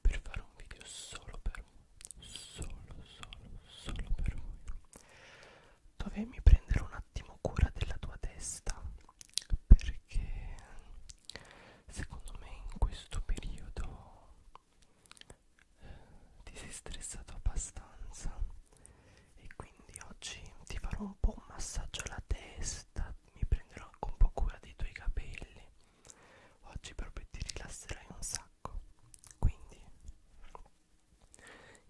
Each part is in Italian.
per fare un video solo per voi solo solo solo per voi dovevi prendere un attimo cura della tua testa perché secondo me in questo periodo eh, ti sei stressato abbastanza e quindi oggi ti farò un po' un massaggio alla testa mi prenderò anche un po' cura dei tuoi capelli Oggi proprio ti rilasserai un sacco. Quindi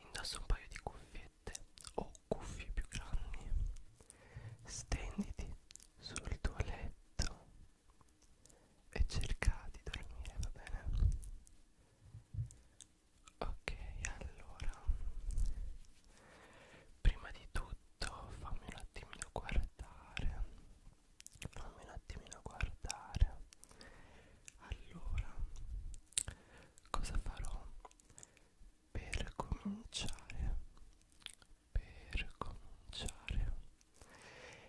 indossa un paio di cuffiette o cuffie più grandi. Stenditi sul tuo letto e cerca di dormire, va bene? Ok, allora prima di tutto fammi un attimino guardare fammi un attimino guardare allora cosa farò per cominciare per cominciare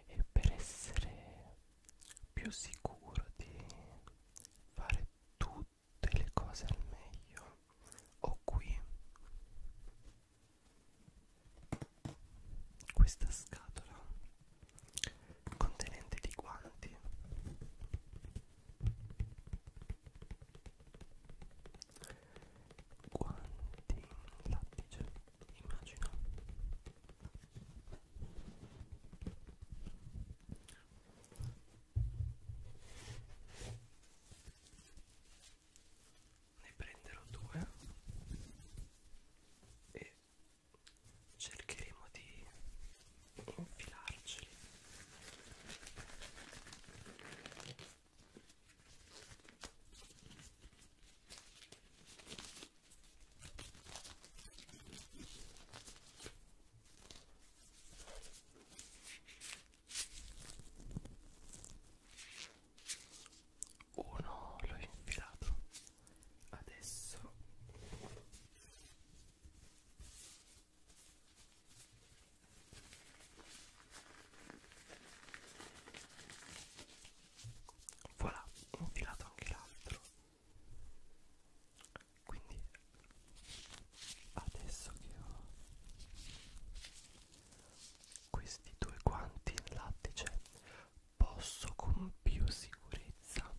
e per essere più sicuro di fare tutte le cose al meglio ho qui questa scatola contenente dei guanti guanti in lattice immagino ne prenderò due e cercheremo di infilarceli uno l'ho infilato adesso voilà ho infilato anche l'altro quindi adesso che ho questi due guanti in lattice posso con più sicurezza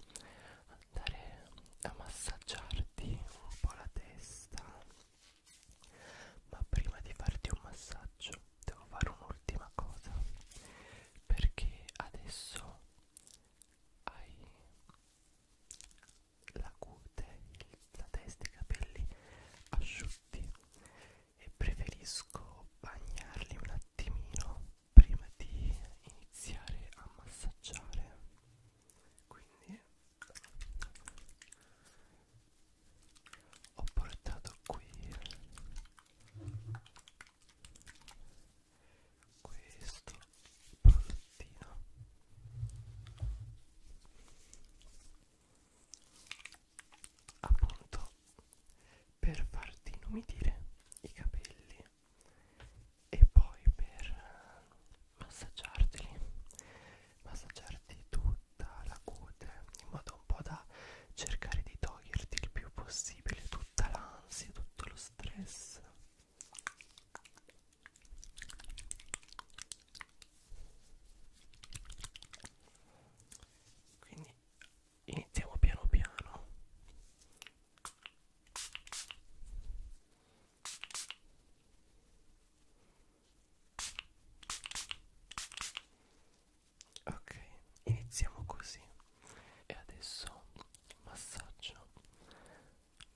andare a massaggiarti un po' la testa ma prima di farti un massaggio devo fare un'ultima cosa perché adesso hai la cute, la testa, i capelli asciutti baffi e preferisco bagnarli un attimino prima di iniziare a massaggiare quindi ho portato qui questo prodottino appunto per farti inumidire i capelli e poi per massaggiarteli massaggiarti tutta la cute in modo un po' da cercare di toglierti il più possibile tutta l'ansia tutto lo stress quindi iniziamo piano piano ok iniziamo così e adesso massaggio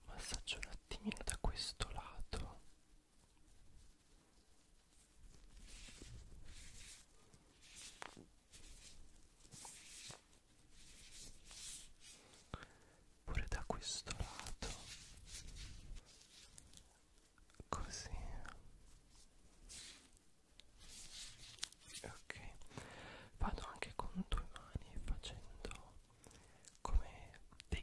massaggio un attimino da questo lato pure da questo lato così ok vado anche con due mani facendo come dei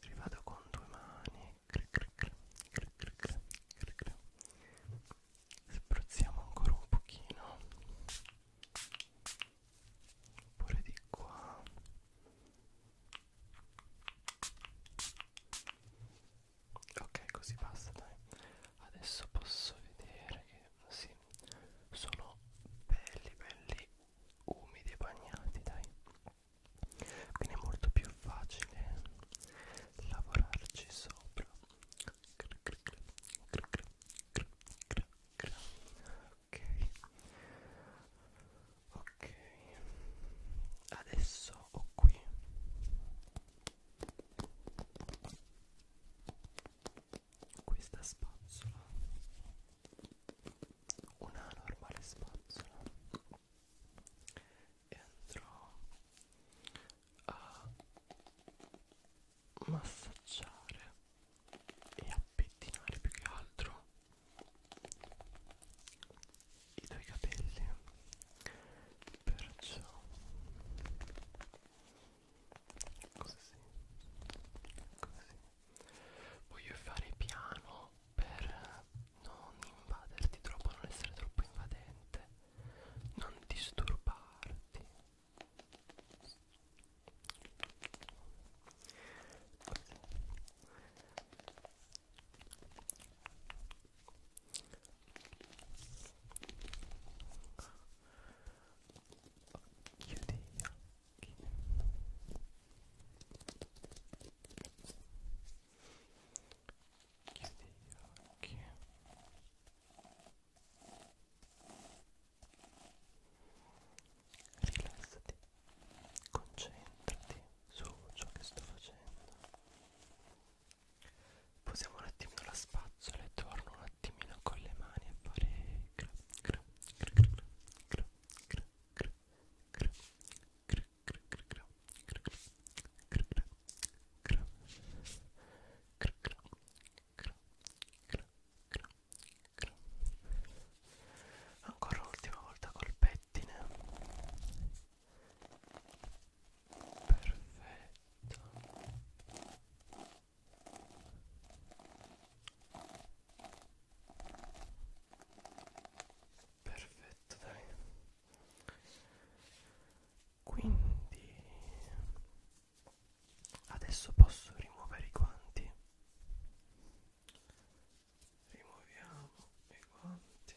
ci vado con due mani spruzziamo ancora un pochino pure di qua ok così basta dai adesso posso vedere che sì sono belli belli umidi e bagnati dai quindi è molto più facile lavorarci sopra ok ok adesso ho qui questa spazzola una normale spazzola e andrò a massaggiare e a pettinare più che altro i tuoi capelli perciò così così voglio fare piano per non invaderti troppo, non essere troppo invadente, non disturbarti. Così. Chiudi chiudi gli occhi rilassati concentrati su ciò che sto facendo posiamo un attimino la spazzola e torno un attimino con le mani a fare gra gra gra gra gra gra ancora l'ultima volta col pettine perfetto perfetto dai quindi adesso posso rimuovere i guanti rimuoviamo i guanti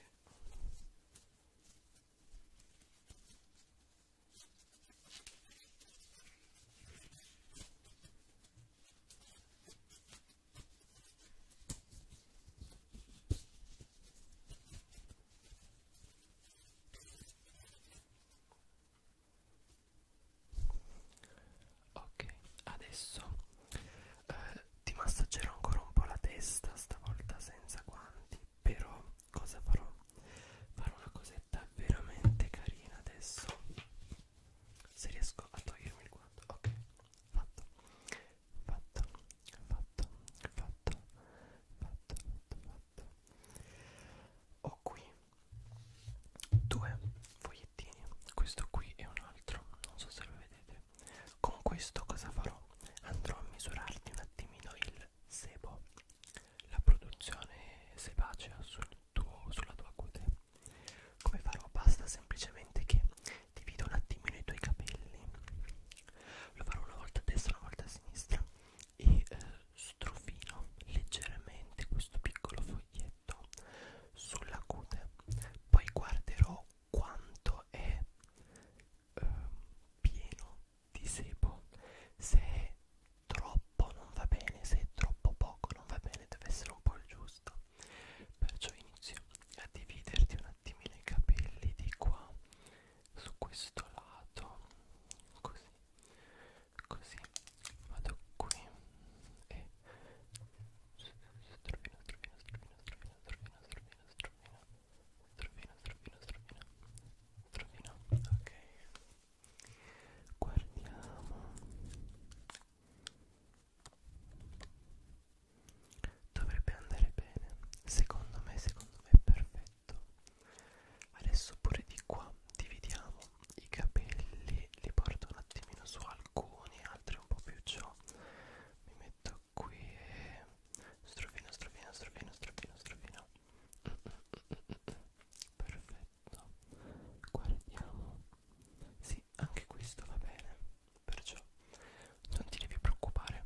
Ok, adesso eh, ti massaggerò ancora un po' la testa, stavolta senza guanti, però cosa farò? Farò una cosetta veramente carina adesso se riesco a togliermi il guanto ok fatto fatto fatto fatto fatto fatto fatto ho qui due fogliettini questo qui e un altro non so se lo vedete con questo cosa farò andrò a misurarti un attimino il sebo la produzione sebacea sul tuo, sulla tua cute come farò? Basta semplicemente che divido un attimino i tuoi capelli. Lo farò una volta a destra, una volta a sinistra e eh, strofino leggermente questo piccolo foglietto sulla cute. Poi guarderò quanto è eh, pieno di sebo. Se è troppo troppo non va bene, se è troppo poco non va bene, deve essere un po' il giusto. Perciò inizio a dividerti un attimino i capelli di qua su questo lato, così, così, vado qui e strovino, strovino, strovino, strovino, strovino, strovino, strovino, strovino, strovino, strovino, strovino, ok. Guardiamo Dovrebbe andare bene, secondo me, secondo me è perfetto. Adesso pure di qua dividiamo i capelli, li porto un attimino su alcuni, altri un po' più ciò. Mi metto qui e strofino, strofino, strofino, strofino, strofino. Mm -mm -mm -mm. mm, mm. Perfetto. Guardiamo sì, anche questo va bene, perciò non ti devi preoccupare,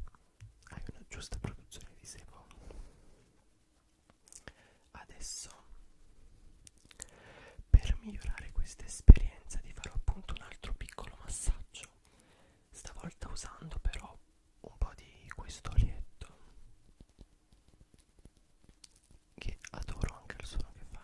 hai una giusta produzione di sebo. Adesso, per migliorare questa esperienza, ti farò appunto un altro piccolo massaggio, stavolta usando però un po' di questo olietto che adoro anche il suono che fa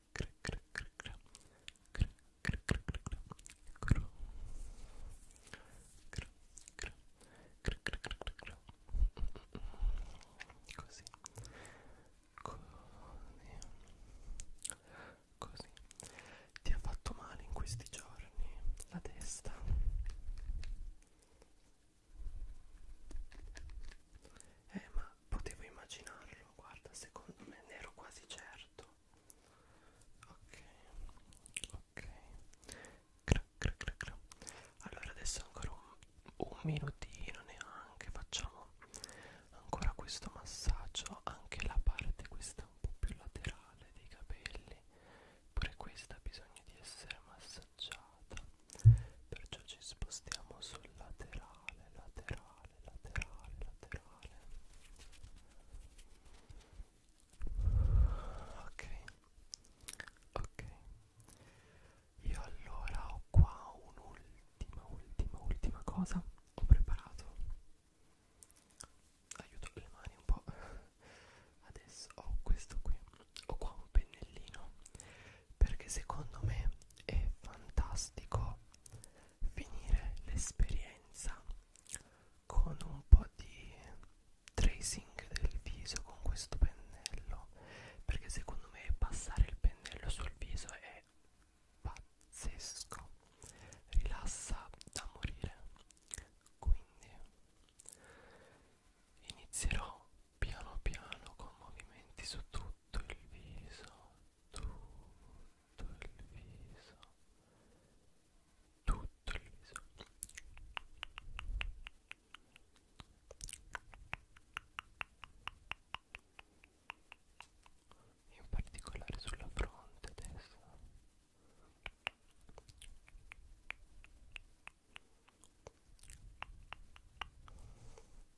così così ti ha fatto male in questi giorni la testa eh ma potevo immaginarlo farlo guarda secondo me ne ero quasi certo ok ok cra, cra, cra, cra. allora adesso ancora un, un minutino neanche facciamo ancora questo massaggio anche la parte questa un po' più laterale dei capelli pure questa ha bisogno di essere massaggiata perciò ci spostiamo sul laterale laterale laterale, laterale. Ok, ok. Io allora ho qua un'ultima, ultima, ultima cosa. Ho preparato. Aiuto le mani un po'. Adesso ho questo qui. Ho qua un pennellino perché secondo me è fantastico finire l'esperienza con un po' di tracing del viso con questo pennello perché secondo me passare il pennello sul viso è pazzesco rilassa da morire quindi inizierò piano piano con movimenti su tutto il viso tutto il viso tutto il viso in particolare sulla fronte adesso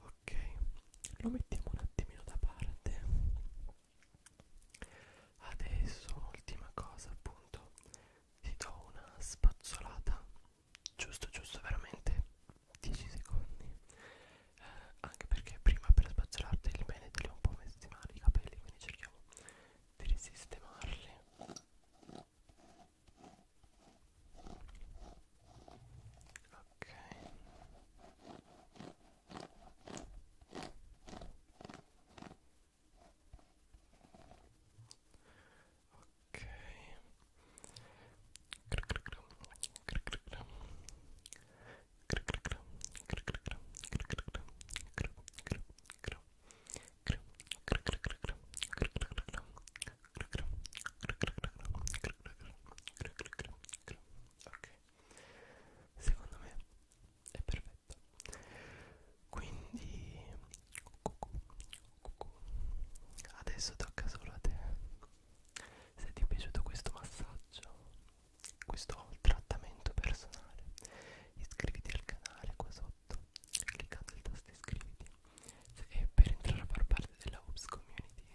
ok lo mettiamo un attimino da parte adesso un'ultima cosa appunto ti do una spazzolata giusto giusto veramente 10 secondi eh, anche perché prima per spazzolarteli bene te li ho un po' messi male i capelli quindi cerchiamo di risistemarli ok ok ok secondo me è perfetto quindi adesso tocca solo a te se ti è piaciuto questo massaggio questo trattamento personale iscriviti al canale qua sotto cliccando il tasto iscriviti e per entrare a far parte della Hubs community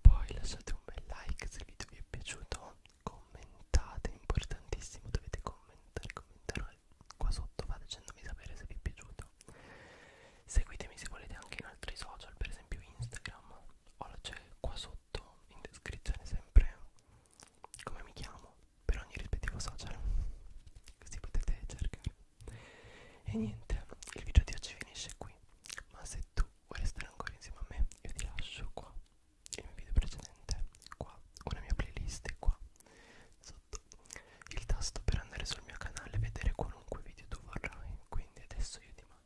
poi lasciate un bel like se il video vi è piaciuto commentate importantissimo dovete commentare commentare qua sotto va facendomi sapere se vi è piaciuto seguitemi se volete anche in altri social per esempio Instagram Ora c'è qua sotto in descrizione sempre come mi chiamo per ogni rispettivo social così potete cercare e niente il video di oggi finisce qui ma se tu vuoi restare ancora insieme a me io ti lascio qua il mio video precedente qua una mia playlist qua sotto il tasto per andare sul mio canale e vedere qualunque video tu vorrai quindi adesso io ti mando